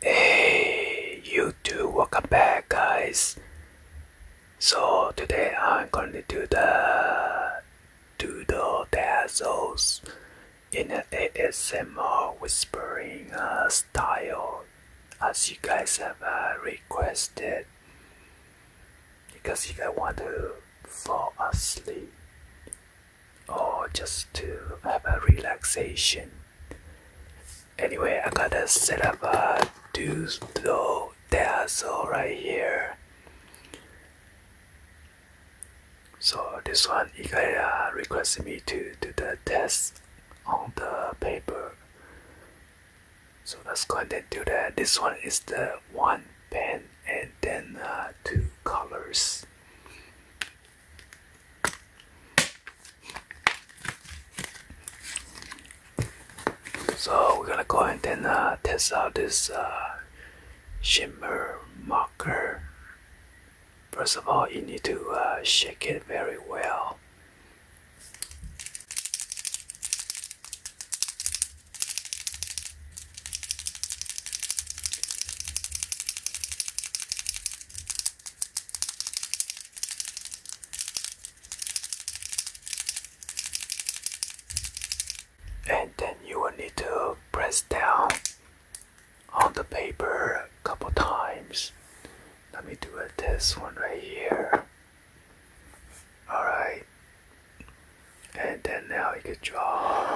Hey YouTube, welcome back guys. So today I'm going to do the doodle dazzles in an ASMR whispering uh, style as you guys have uh, requested because you don't want to fall asleep or just to have a relaxation. Anyway, I gotta set up a Doodle Dazzle right here. So this one, Ikaya requested me to do the test on the paper so let's go ahead and do that. This one is the one pen and then uh, two colors. So we're gonna go ahead and uh, test out this uh, shimmer marker. First of all, you need to shake it very well. And then you will need to press down on the paper a couple times. Let me do this one right here. Alright. And then now you can draw.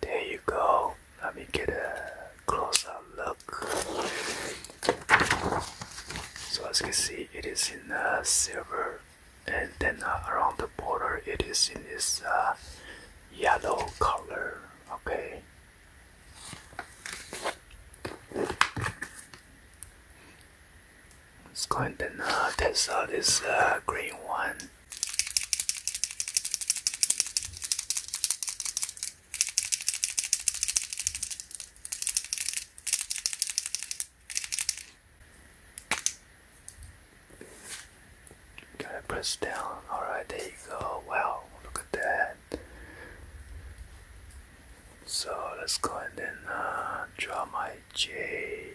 There you go. Let me get a closer look. So as you can see, it is in uh, silver, and then uh, around the border, it is in this uh, yellow color. Okay. Let's go and then uh, test out this uh, green one. Gotta press down. Alright, there you go. Wow, look at that. So let's go and uh, draw my J.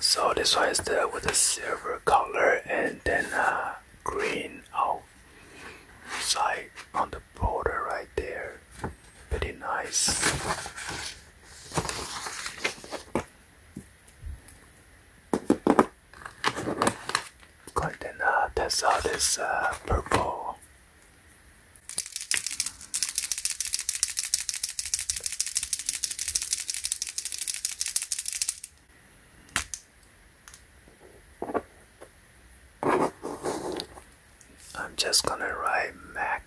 So this one is the with a silver color and then a uh, green outside on the border right there. Pretty nice. Going to uh, test out this uh, purple. I'm just gonna write Mac.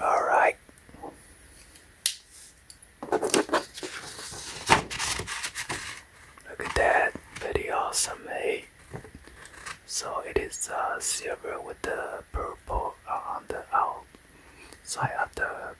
All right. Look at that, very awesome, eh? So it is uh, silver with the purple uh, on the outside of the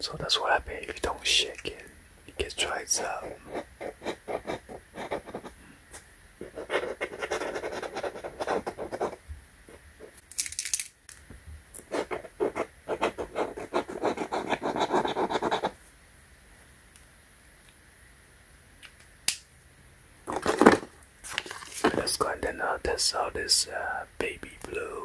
So that's what happened if you don't shake it, it gets dried up. Let's go and then uh, I'll test out this uh, baby blue.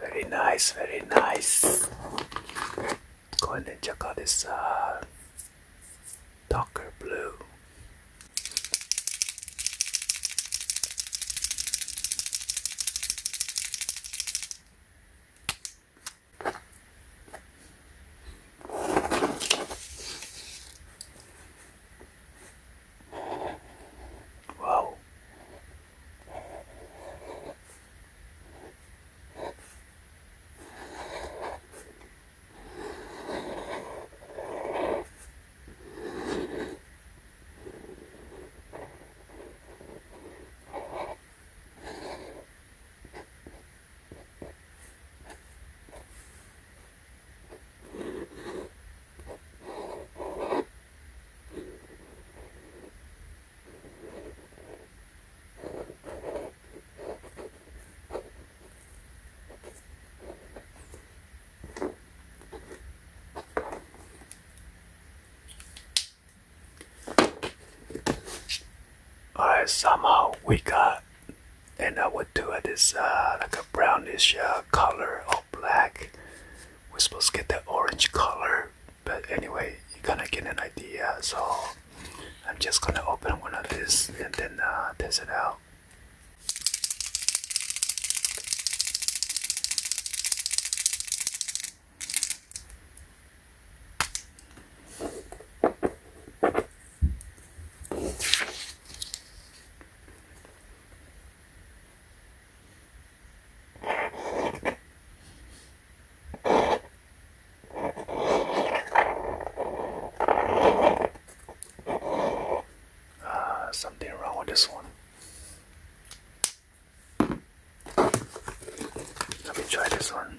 Very nice, very nice. これね、ジャカでさ、darker uh, blue. Whoa. Alright, somehow we got and I would do it is uh, like a brownish uh, color or black we're supposed to get that orange color but anyway you're gonna get an idea so I'm just gonna open one of these and then uh, test it out uh, something wrong with this one. Let me try this one.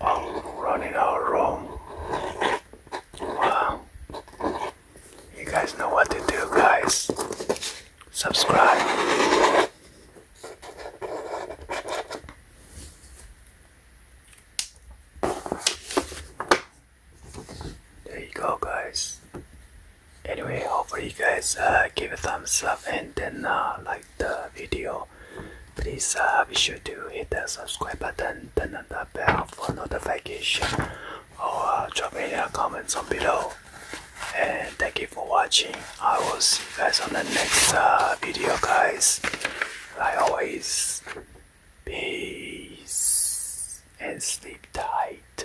I'm running out of room. Wow. You guys know what to do, guys. Subscribe. There you go, guys anyway hopefully you guys uh, give a thumbs up and then uh, like the video please uh, be sure to hit the subscribe button turn on the bell for notification or drop drop a comment down below and thank you for watching i will see you guys on the next video guys I always peace and sleep tight